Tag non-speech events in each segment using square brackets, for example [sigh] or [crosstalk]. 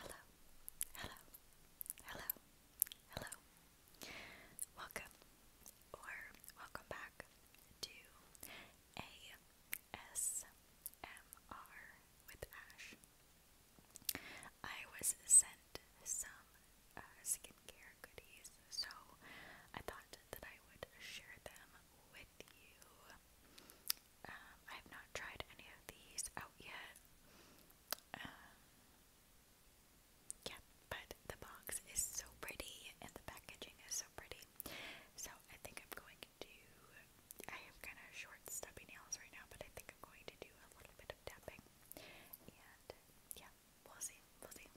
Hello, hello, hello, hello. Welcome or welcome back to ASMR with Ash. I was sent some uh, skincare goodies, so I thought that I would share them with you. Um, I have not tried any of these out yet. Um, yeah, but the box is so pretty and the packaging is so pretty. So I think I'm going to. I have kind of short, stubby nails right now, but I think I'm going to do a little bit of tapping. And yeah, we'll see. We'll see.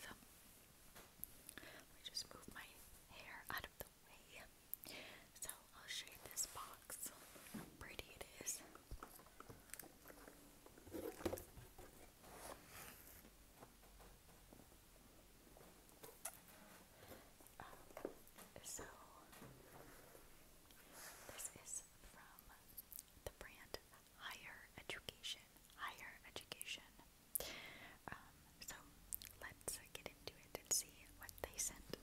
So, let me just move my hair out of the away. So I'll show you this box, how pretty it is. Um, so this is from the brand Higher Education. Higher Education. Um, so let's get into it and see what they sent.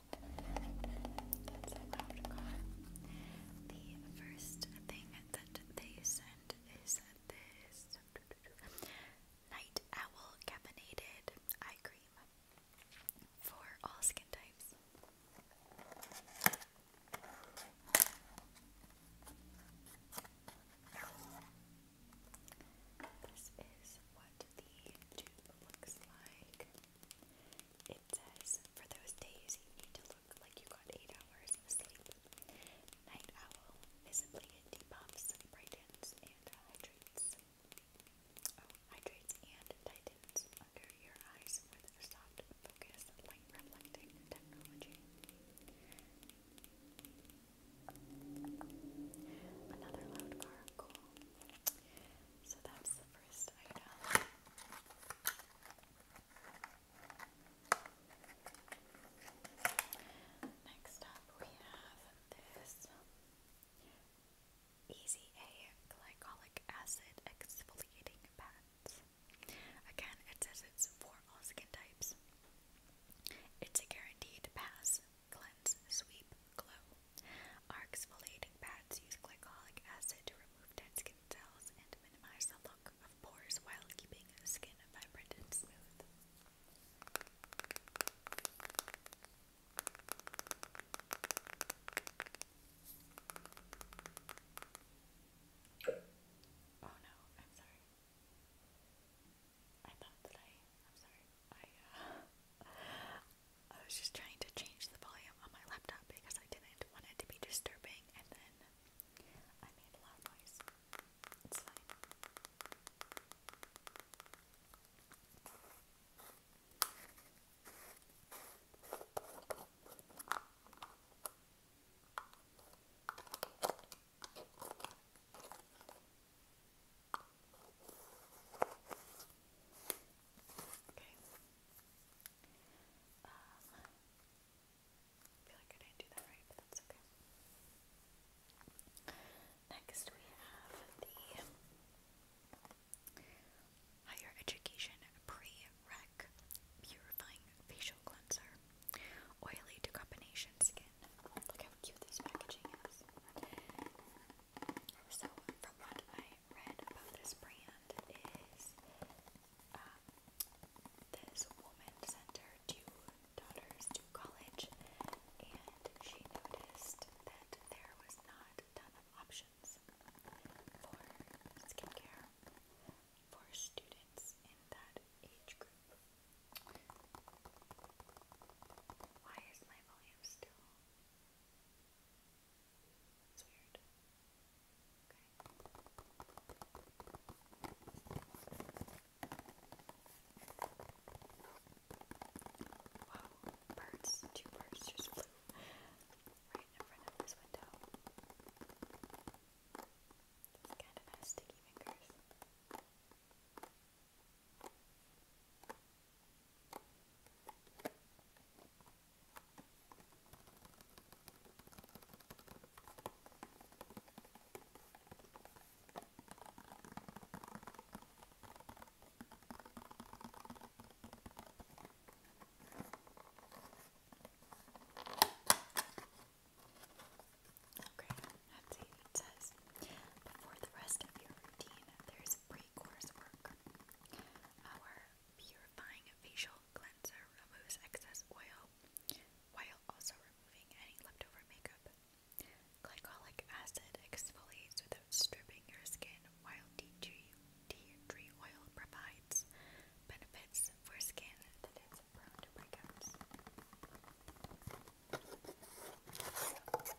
The first thing that they sent is this Night Owl Caffeinated Eye Cream for all skin types. This is what the tube looks like. It says, for those days you need to look like you got 8 hours of sleep. Night Owl visibly depuffs, brightens, and hydrates. Oh, hydrates and tightens under your eyes with a soft focus, light reflecting technology. Another loud car, cool. So that's the first item. Next up, we have this Easy A Glycolic Acid Exfoliating Pad. Again, it says it's for all skin types. It's a guaranteed pass, cleanse, sweep, glow. Arcs foliating pads use glycolic acid to remove dead skin cells and minimize the look of pores while keeping skin vibrant and smooth. Oh no, I'm sorry. I thought that I. I'm sorry. I, uh, I was just trying to change the volume on my laptop because I didn't want it to be disturbing, and then I made a loud noise. Okay. Um, I feel like I didn't do that right, but that's okay. Next, we have the Higher Education Pre-Rec Purifying Facial Cleanser. Oily to combination skin. Look how cute this packaging is. So, from what I read about this brand is um, this woman sent her two daughters to college, and she noticed that there was not a options for skincare for students in that age group. Why is my volume still? It's weird. Wow, birds, two birds just flew right in front of this window. This kind of sticky fingers. Okay, let's it says. Before the rest of your routine, there's a our purifying facial cleanser removes excess oil while also removing any leftover makeup. Glycolic acid exfoliates without stripping your skin, while tea tea tree oil provides benefits for skin that is prone to breakouts.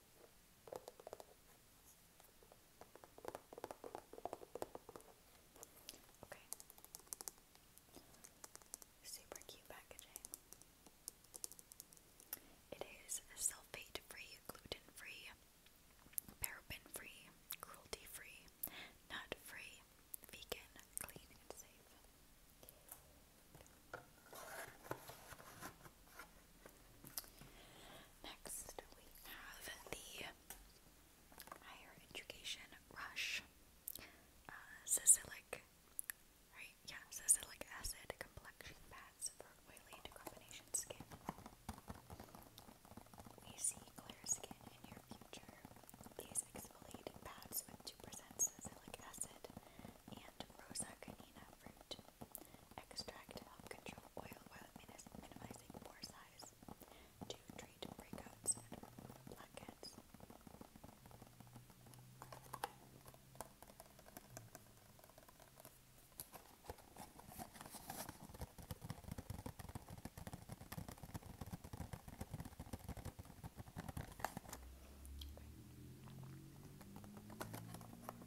Okay. Super cute packaging. It is sulfate free, gluten free, paraben free, cruelty free, nut free, vegan, clean, and safe. Next, we have the Higher Education Rush uh, right? Yeah, Sicilic Acid Complexion Pads for Oily Combination Skin. We see clear skin in your future. These exfoliating pads with 2% salicylic acid and rosa canina fruit Extract to help control oil while minimizing pore size. To treat breakouts blackheads.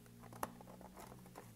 This is what that looks like.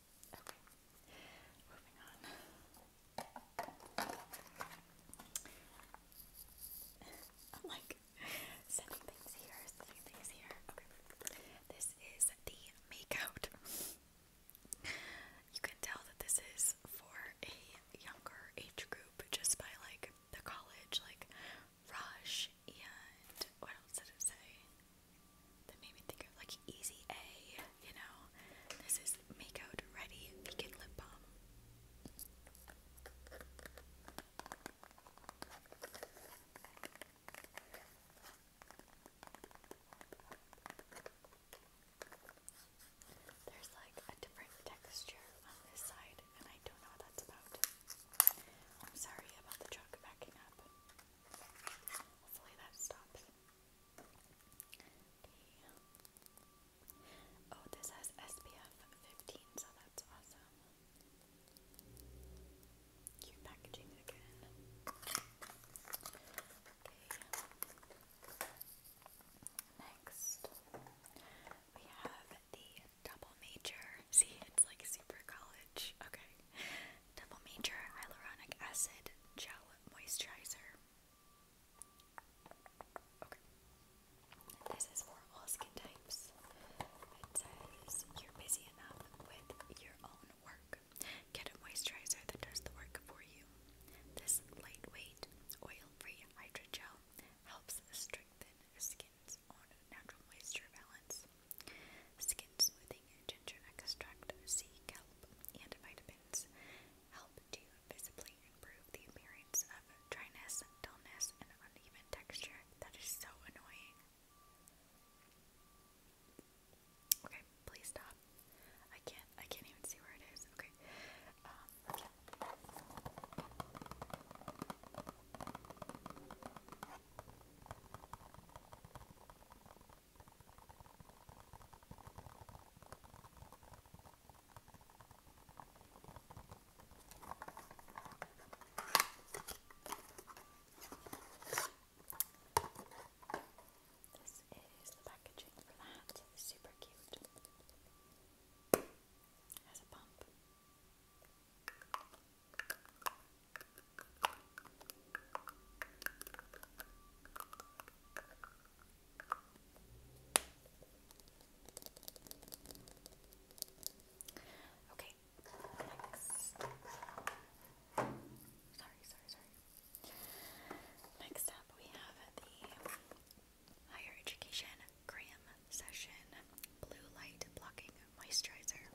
Okay, like sending things here, sending things here. Okay, this is the makeout. you can tell that this is for a younger age group just by like the college, like Rush and what else did it say? That made me think of like Easy A, you know? This is Makeout Ready Vegan Lip Balm. There's like a different texture on this side, and I don't know what that's about. sorry about the truck backing up. Hopefully that stops. Oh, this has SPF 15, so that's awesome. Cute packaging again. Okay. Next, we have the double major. [laughs] See, it's like super college. Okay. Double Major Hyaluronic Acid Gel Moisturizer. Okay. This is for all skin types. It says you're busy enough with your own work. Get a moisturizer that does the work for you. This lightweight, oil-free hydrogel helps strengthen skin's own natural moisture balance. Skin smoothing, ginger extract, sea kelp, and vitamins help to visibly improve the appearance of dryness, dullness, and uneven texture. That is so annoying. Okay, please stop. I can't. I can't even see where it is. Okay. Um, this is the packaging for that. Super cute. Has a pump. Okay, next. Sorry, sorry, sorry. Next up, we have the Higher Education Graham Session Blue Light Blocking Moisturizer.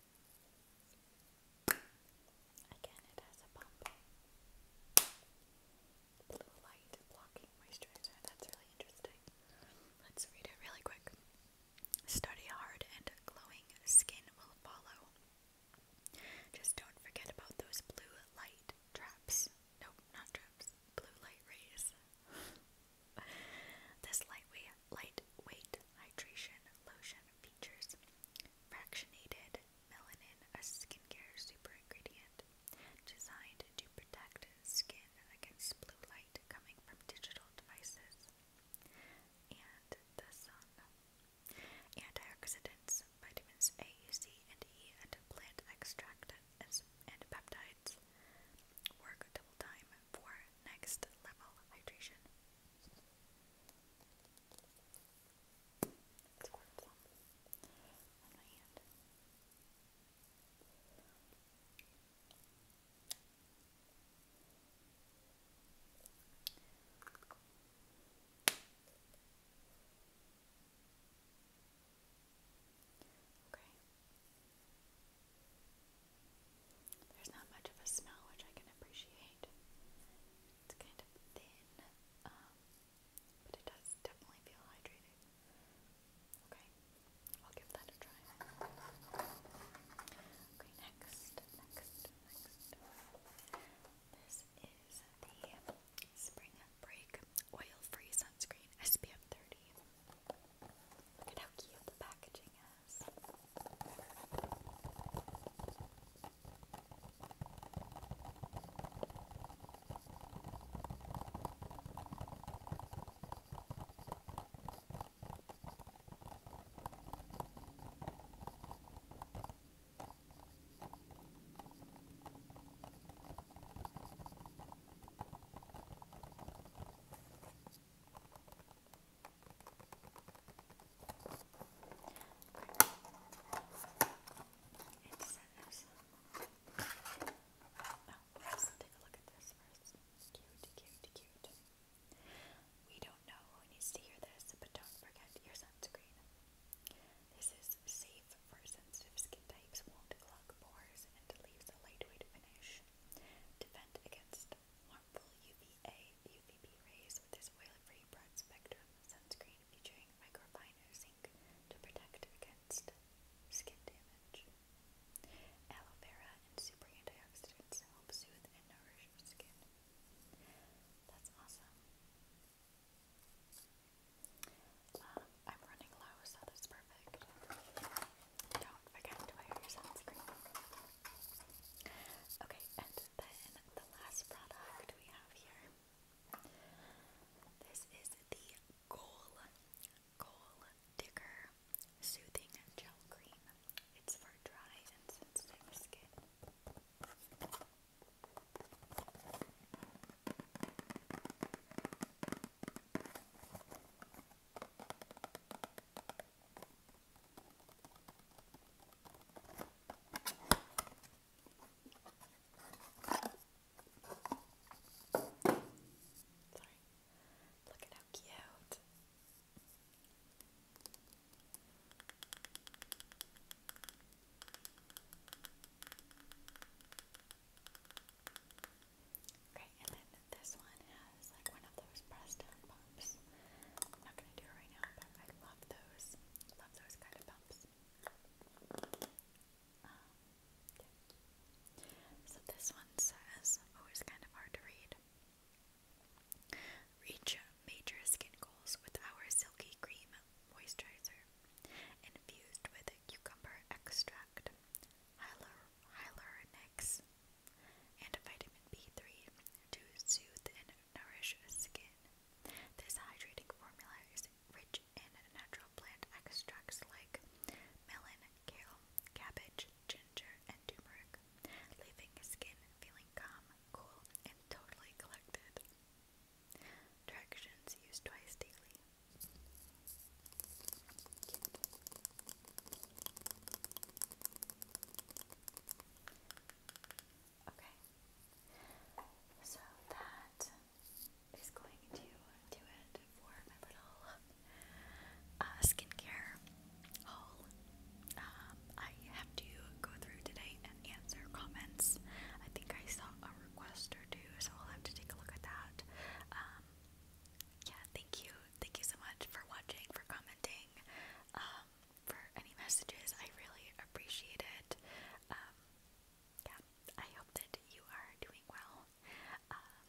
Again, it has a pump. Blue light blocking moisturizer. That's really interesting. Let's read it really quick. Study hard and glowing skin will follow. Just don't forget about those blue light traps. Nope, not traps. Blue light rays. This lightweight, lightweight hydration lotion features fractionated melanin, a skincare super ingredient designed to protect skin against blue light coming from digital devices and the sun. Antioxidants, vitamins A, C, and E, and plant extract and peptides work double time for next level hydration. It's Okay. There's not much of a smell, which I can appreciate. It's kind of thin, um, but it does definitely feel hydrated. Okay, I'll give that a try. Okay, next, next, next. This is the Spring Break Oil Free Sunscreen SPF 30. Look at how cute the packaging is. And so We don't know who needs to this, but don't forget your sunscreen. This is safe for sensitive skin types, won't clog pores, and leaves a lightweight finish. Defend against harmful UVA, UVB rays with this oil-free broad spectrum sunscreen featuring microfiner zinc to protect against skin damage. Aloe vera and super antioxidants help soothe and nourish your skin. That's awesome. Um, I'm running low, so this perfect. Don't forget to wear your sunscreen. Okay, and then the last product we have here. This is the Goal Goal Digger Soothing Gel Cream. It's for dry and sensitive skin. Sorry. Look at how cute. Okay, and then this one has like one of those press down pumps. I'm not gonna do it right now, but I love those. Love those kind of pumps. Um, so this one says, oh, kind of hard to read. Reach major skin goals with our silky cream moisturizer, infused with cucumber extract, hyalur hyaluronics, and vitamin B3 to soothe and nourish skin. This hydrating formula is rich in natural plant extracts like melon, kale, cabbage, ginger, and turmeric, leaving skin feeling calm, cool, and totally collected. Directions used twice daily. Okay, so that is going to do it for my little uh, skincare haul. Um, I have to go through today and answer comments. I think I saw a request or two, so I'll have to take a look at that. Um, yeah, thank you. Thank you so much for watching, for commenting, um, for any messages. I really appreciate it. Um, yeah, I hope that you are doing well. Um,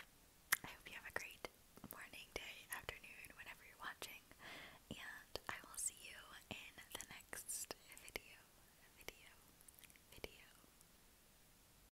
I hope you have a great morning, day, afternoon, whenever you're watching. And I will see you in the next video. Video. Video.